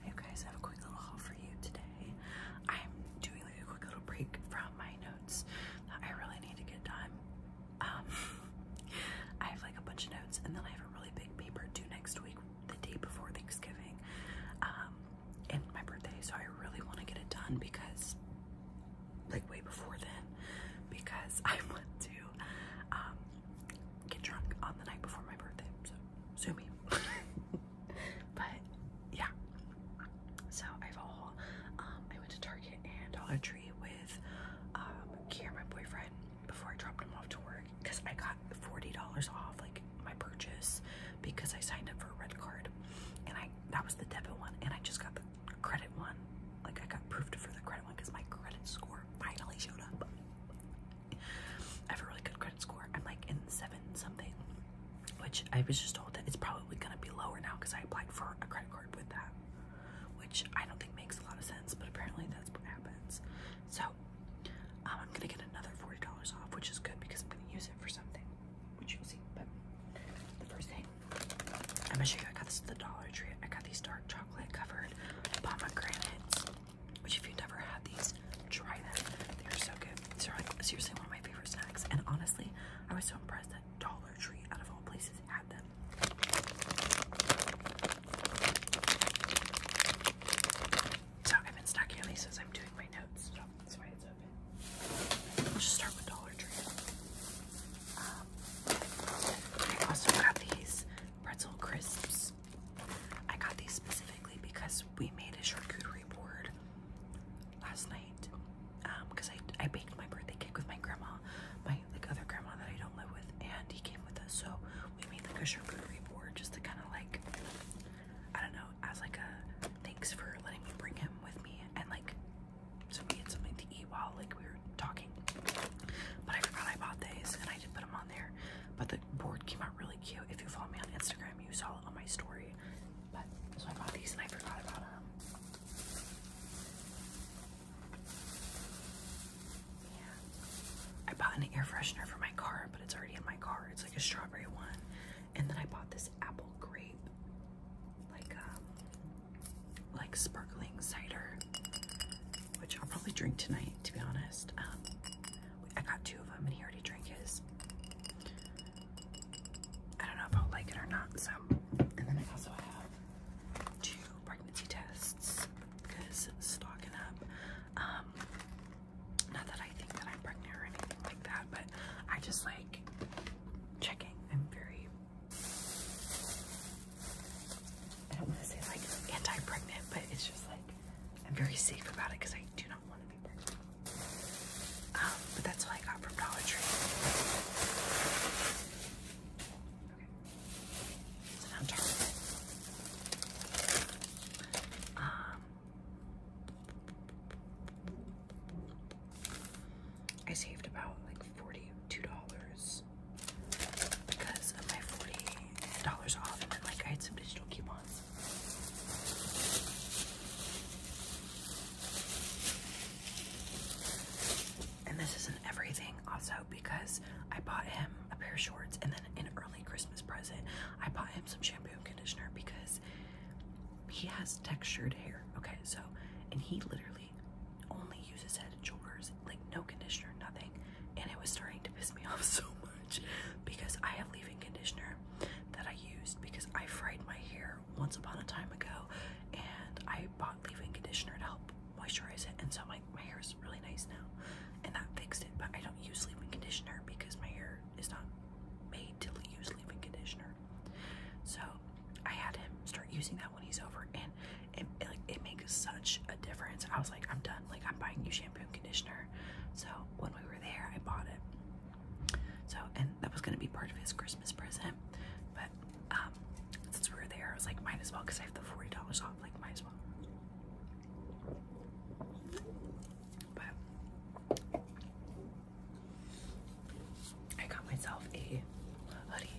Hey guys, I have a quick little haul for you today. I'm doing like a quick little break from my notes I really need to get done. Um, I have like a bunch of notes and then I have a really big paper due next week, the day before Thanksgiving, um, and my birthday. So I really want to get it done because, like, way before then, because I want to um, get drunk on the night before my birthday. So sue but yeah. So I have a haul. Um, I went to Target and Dollar Tree with um, Kier, my boyfriend, before I dropped him off to work because I got $40 off like my purchase because I signed up for a red card and I that was the debit one and I just got the credit one. Like I got proofed for the credit one because my credit score finally showed up. I have a really good credit score. I'm like in seven something, which I was just told that it's probably gonna be lower now because I applied for a credit card with that, which I don't think makes a lot of sense, but apparently that's what happens. So um, I'm gonna get another forty dollars off, which is good because I'm gonna use it for something, which you'll see. But the first thing I'm gonna show you, I got this at the Dollar Tree. I got these dark chocolate covered pomegranates. Which, if you've never had these, try them. They're so good. These are like seriously one of my favorite snacks. And honestly, I was so impressed that Dollar Tree, out of all places, had them. So I've been stacking on these as I'm doing my notes. that's why it's open. We'll just start with Dollar Tree. Um, I also got these pretzel crisps. I got these specifically because we made a charcuterie board last night. Um, because I I baked my birthday cake with my grandma, my like other grandma that I don't live with, and he came with us, so we made like a charcuterie board just to kind of like I don't know, as like a thanks for letting me bring him with me and like so we had something to eat while like we were talking. But I forgot I bought these and I did put them on there. But the board came out really cute. If you follow me on Instagram, you saw it on my story. But so I bought these and I forgot about them. I bought an air freshener for my car, but it's already in my car. It's like a strawberry one. And then I bought this apple grape, like um, like sparkling cider which I'll probably drink tonight, to be honest. Um, I got two of them, and he already drank his. I don't know if I'll like it or not. So, and then I also have two pregnancy tests because stocking up. Um, not that I think that I'm pregnant or anything like that, but I just like checking. I'm very I don't want to say like anti-pregnant, but it's just like I'm very safe about it because I do not want to be pregnant. Um, but that's what I got from Dollar Tree. Okay. So now chocolate. Um I saved about like $42 dollars because of my forty dollars off, and then like I had some digital coupons. And this isn't everything, also because I bought him a pair of shorts, and then an early Christmas present, I bought him some shampoo and conditioner because he has textured hair. Okay, so and he literally only uses head and shoulders, like no conditioner, nothing and it was starting to piss me off so much because I have leave-in conditioner that I used because I fried my hair once upon a time ago and I bought leave-in conditioner to help moisturize it and so my, my hair is really nice now and that fixed it but I don't use leave-in conditioner because my hair is not made to use leave-in conditioner so I had him start using that when he's over and it, like it makes such a difference. I was like, I'm done. Like I'm buying new shampoo and conditioner. So when we were there, I bought it. So and that was gonna be part of his Christmas present, but um, since we were there, I was like, might as well because I have the forty dollars off. Like might as well. But I got myself a hoodie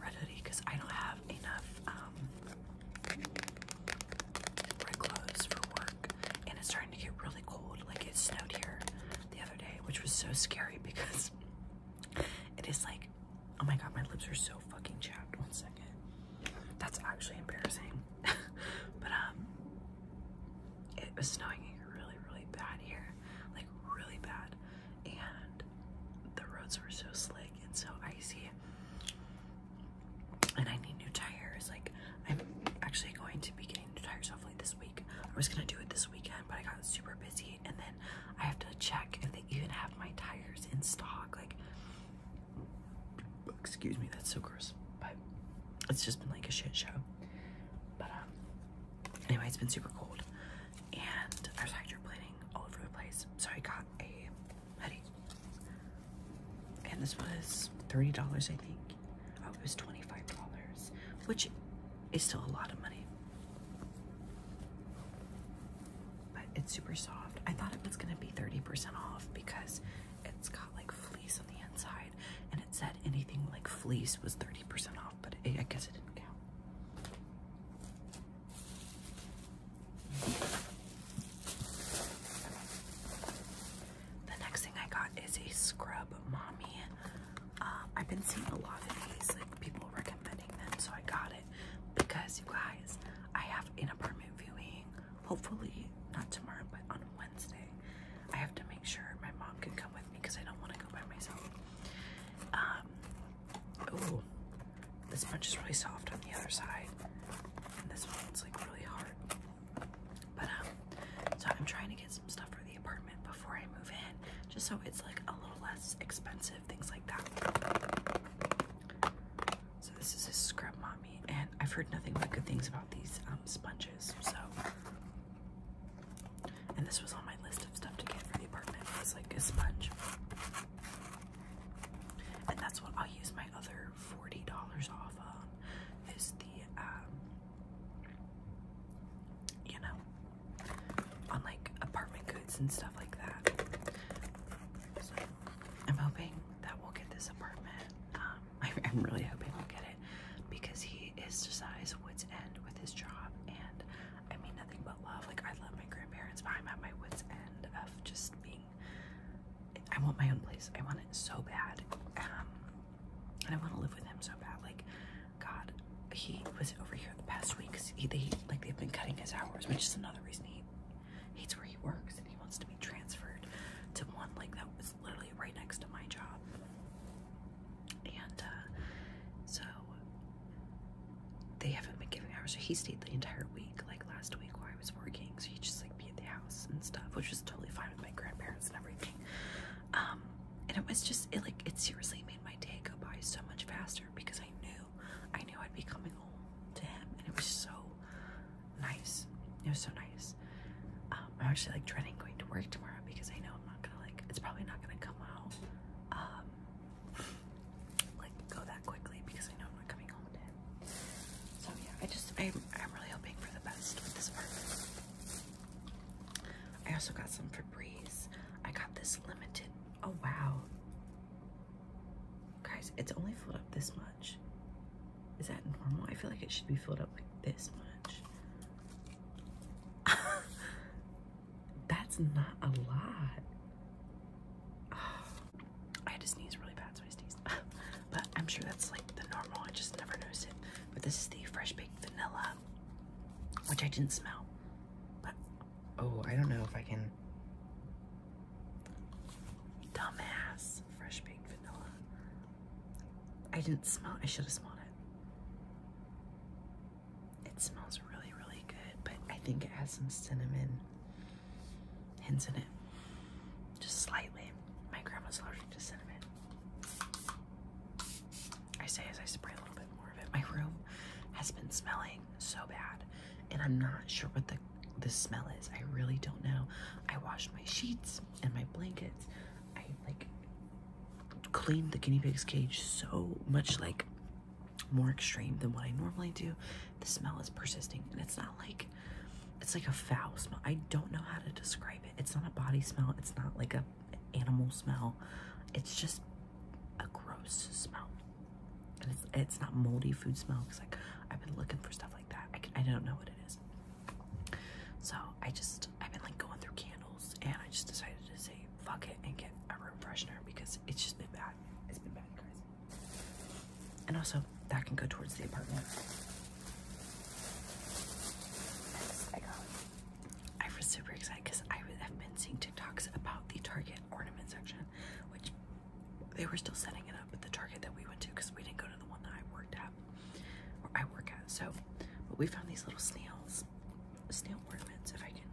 red because I don't have enough um, red clothes for work, and it's starting to get really cold. Like it snowed here the other day, which was so scary because it is like, oh my god, my lips are so fucking chapped. One second, that's actually embarrassing. but um, it was snowing really, really bad here, like really bad, and the roads were so slick and so icy. And I need new tires. Like, I'm actually going to be getting new tires hopefully this week. I was gonna do it this weekend, but I got super busy, and then I have to check if they even have my tires in stock. Like, excuse me, that's so gross, but it's just been like a shit show. But, um, anyway, it's been super cold, and I was hydroplaning all over the place, so I got a hoodie. And this was $30, I think. Oh, it was $25, which is still a lot of money. But it's super soft. I thought it was going to be 30% off because it's got like fleece on the inside. And it said anything like fleece was 30% off, but I guess it didn't count. The next thing I got is a scrub mommy. Um, I've been seeing a lot of these, like people recommending them, so I got it because you guys, I have an apartment viewing. Hopefully, not tomorrow, but on Wednesday. I have to make sure my mom can come with me because I don't want to go by myself. Um, Ooh, this punch is really soft on the other side, and this one's like really hard. But um, so I'm trying to get some stuff for the apartment before I move in, just so it's like a little less expensive, things like that. So this is a scrub mommy, and I've heard nothing but good things about these um sponges. So, and this was on my list of stuff to get for the apartment. It's like a sponge. And that's what I'll use my other $40 off on is the, um, you know, on like apartment goods and stuff like that. I'm hoping that we'll get this apartment. I, am um, really hoping we'll get it because he is to size Woods End with his job and I mean nothing but love. Like I love my grandparents, but I'm at my wits end of just being. I want my own place. I want it so bad, um, and I want to live with him so bad. Like, God, he was over here the past week. Cause he, like they've been cutting his hours, which is another reason he hates where he works, and he wants to be transferred to one like that was literally right next to my job. And uh, so they haven't been giving hours. So he stayed the entire week, like last week while I was working. So he just like be at the house and stuff, which was totally fine with my grandparents and everything. Um, and it was just it like it seriously made my day go by so much faster because I knew I knew I'd be coming home to him, and it was so nice. It was so nice. Um, I'm actually like dreading going to work tomorrow because I know I'm not gonna like it's probably not gonna come out. Um, like go that quickly because I know I'm not coming home today. So yeah, I just I I'm really hoping for the best with this part. I also got some Febreze. I got this limited. Oh wow. Guys, it's only filled up this much. Is that normal? I feel like it should be filled up like this much. That's not a lot. I had to sneeze really bad, so I sneezed. but I'm sure that's like the normal. I just never noticed it. But this is the fresh baked vanilla, which I didn't smell. But oh, I don't know if I can. Dumbass, fresh baked vanilla. I didn't smell. I should have smelled it. It smells really, really good, but I think it has some cinnamon hints in it. Just slightly. My grandma's allergic to cinnamon. I say as I spray a little bit more of it. My room has been smelling so bad, and I'm not sure what the the smell is. I really don't know. I washed my sheets and my blankets. I like cleaned the guinea pig's cage so much like more extreme than what I normally do. The smell is persisting, and it's not like it's like a foul smell. I don't know how to describe it. It's not a body smell. It's not like a animal smell. It's just a gross smell, and it's it's not moldy food smell because like I've been looking for stuff like that. I can, I don't know what it is. So I just I've been like going through candles, and I just decided to save fuck it and get a room freshener because it's just been bad. It's been bad, guys. And also, that can go towards the apartment. Next, I got. I was super excited because I have been seeing TikToks about the Target ornament section, which they were still setting it up at the Target that we went to because we didn't go to the one that I worked at, I work at. So, but we found these little snails snail ornaments if I can.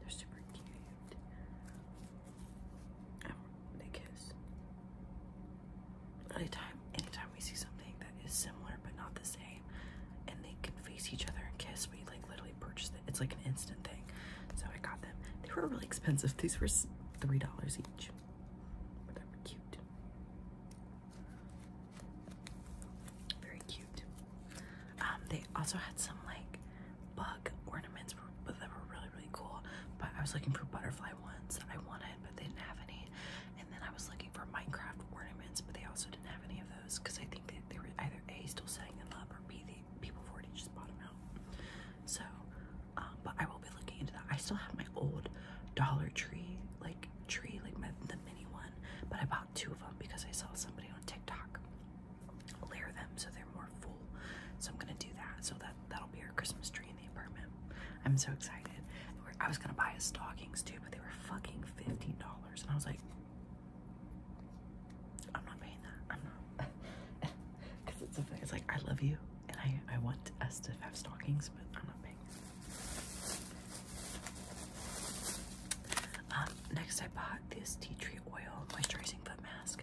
They're super cute. they kiss. Anytime, anytime we see something that is similar but not the same, and they can face each other and kiss, we like literally purchased it. It's like an instant thing. So I got them. They were really expensive. These were three dollars each, but they were cute. Very cute. Um, they also had some like bug ornaments but they were really really cool. But I was looking for butterfly ones I wanted, but they didn't have any. And then I was looking for Minecraft ornaments, but they also didn't have any of those because I think that they were either A still setting in love or B the people already just bought them out. So um, but I will be looking into that. I still have my old Dollar Tree like tree, like my, the mini one, but I bought two of them because I saw somebody on TikTok layer them so they're more full. So I'm gonna do that. So that that'll be our Christmas tree in the apartment. I'm so excited. I was gonna buy a stockings too, but they were fucking fifteen dollars, and I was like, I'm not paying that. I'm not, because it's something. It's like I love you, and I I want us to have stockings, but I'm not paying. Um, next I bought this tea tree oil moisturizing foot mask.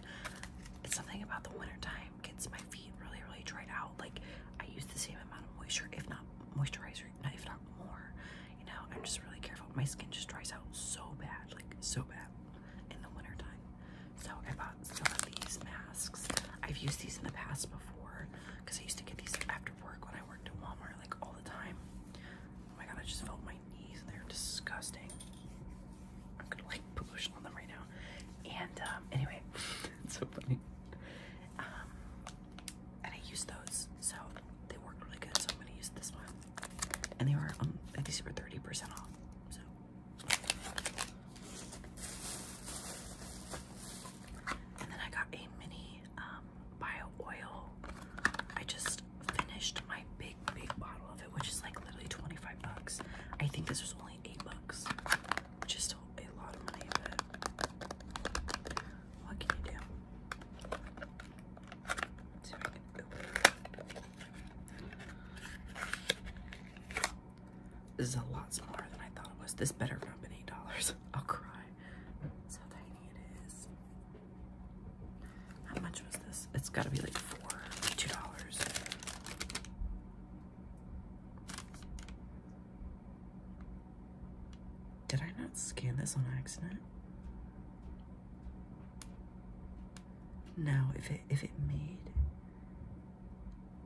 It's something about the winter time gets my feet really, really dried out. Like I use the same amount of moisture, if not moisturizer, if not more. You know, I'm just really careful. My skin just dries out so bad, like so bad in the winter time. So I bought some of these masks. I've used these in the past before because I used to get these after work when I worked at Walmart like all the time. Oh my god, I just felt my knees and they're disgusting. I'm gonna like push on them right now. And um, anyway, it's so funny. Um, and I used those, so they work really good. So I'm gonna use this one. And they were um, I guess they were 30% off. So. And then I got a mini um, bio oil. I just finished my big, big bottle of it, which is like literally 25 bucks. I think this was only 8 bucks, which is still a lot of money, what can you do? This is a lot smaller than I thought it was. This better not been $8. I'll cry. how tiny it is. How much was this? It's gotta be like four, two dollars. Did I not scan this on accident? No, if it if it made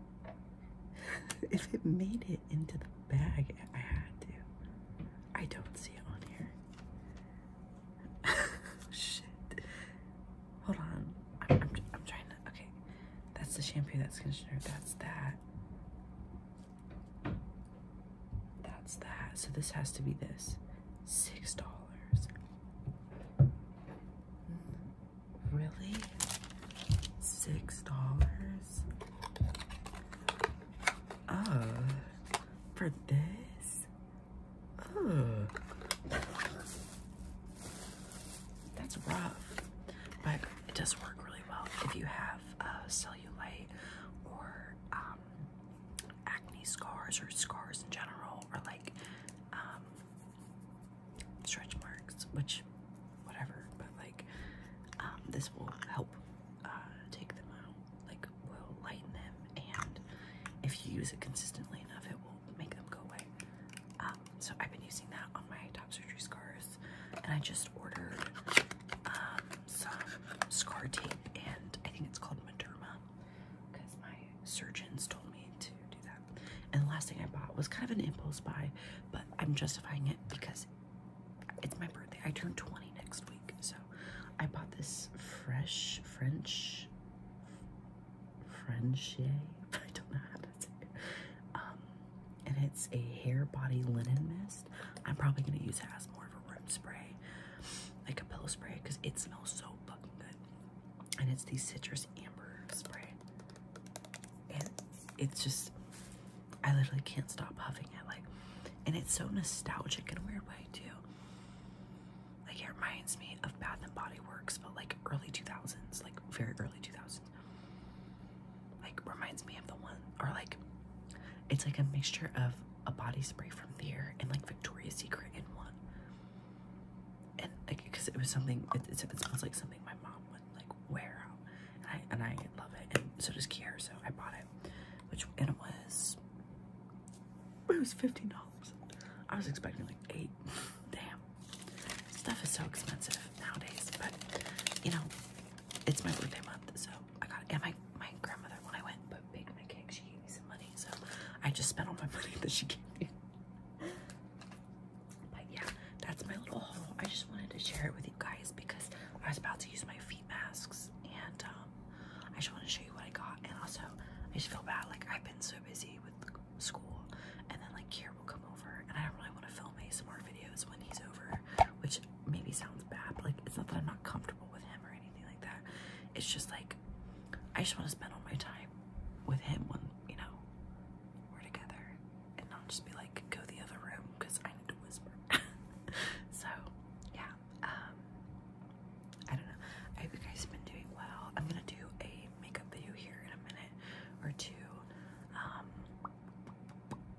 if it made it into the bag, I had to. I don't see it on here. Oh, shit. Hold on. I'm, trying to. Okay. That's the shampoo, that's conditioner, that's that. That's that. So this has to be this. Six dollars. Mm-hmm. Really? Six dollars? Oh, for this? Oh. That's rough, but it does work really well if you have cellulite or um, acne scars or scars in general, or like um, stretch marks, which, whatever, but like, um, this will help uh, take them out, like, will lighten them, and if you use it consistently enough, it will make them go away. Um, so I've been using that on my top surgery scars, and I just ordered um, some scar tape, and I think it's called Mederma, because my surgeons told me to do that. And the last thing I bought was kind of an impulse buy, but I'm justifying it because it's my birthday. I turn 20 next week, so I bought this fresh French French. I don't know how to say it. Um, and it's a hair body linen mist. I'm probably gonna use it as more of a room spray, like a pillow spray, because it smells so fucking good. And it's the citrus amber spray and it's just I literally can't stop huffing it like and it's so nostalgic in a weird way too. Like it reminds me of Bath and Body Works but like early 2000s, like very early 2000s. Like reminds me of the one or like it's like a mixture of a body spray from there and like Victoria's Secret in one. And like because it was something it, it, smells like something my mom would like wear And I, and I love it. And so does Kier, so I bought it. Which, and it was, it was $15. I was expecting like eight. Damn. Stuff is so expensive nowadays, but you know, it's my birthday month, so I got it. And my, my grandmother, when I went but baked my cake, she gave me some money, so I just spent all my money that she gave me. But yeah, that's my little haul. I just wanted to share it with you guys because I was about to use my feet masks and um, I just want to show you what I got. And also, I just feel bad. Like, I've been so busy with school and then like Kier will come over and I don't really want to film ASMR videos when he's over, which maybe sounds bad, like it's not that I'm not comfortable with him or anything like that. It's just like, I just want to spend all my time with him when, you know, we're together and not just be like, go the other room because I need to whisper. so, yeah. Um, I don't know. I hope you have been doing well. I'm gonna do a makeup video here in a minute or two. Um,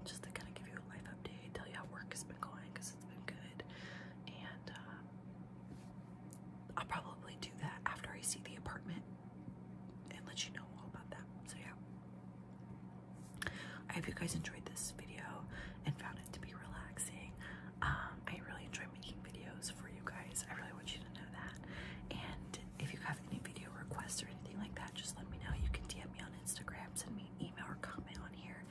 just to kind of give you a life update, tell you how work has been going because it's been good, and uh, I'll probably do that after I see the apartment and let you know all about that. So, yeah, I hope you guys enjoyed this video and found it to be relaxing. Um, I really enjoy making videos for you guys, I really want you to know that. And if you have any video requests or anything like that, just let me know. You can DM me on Instagram, send me email, or comment on here.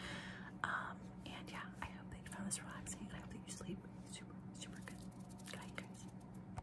Um, and yeah, I hope that you found this relaxing and I hope that you sleep super, super good. Good night, guys.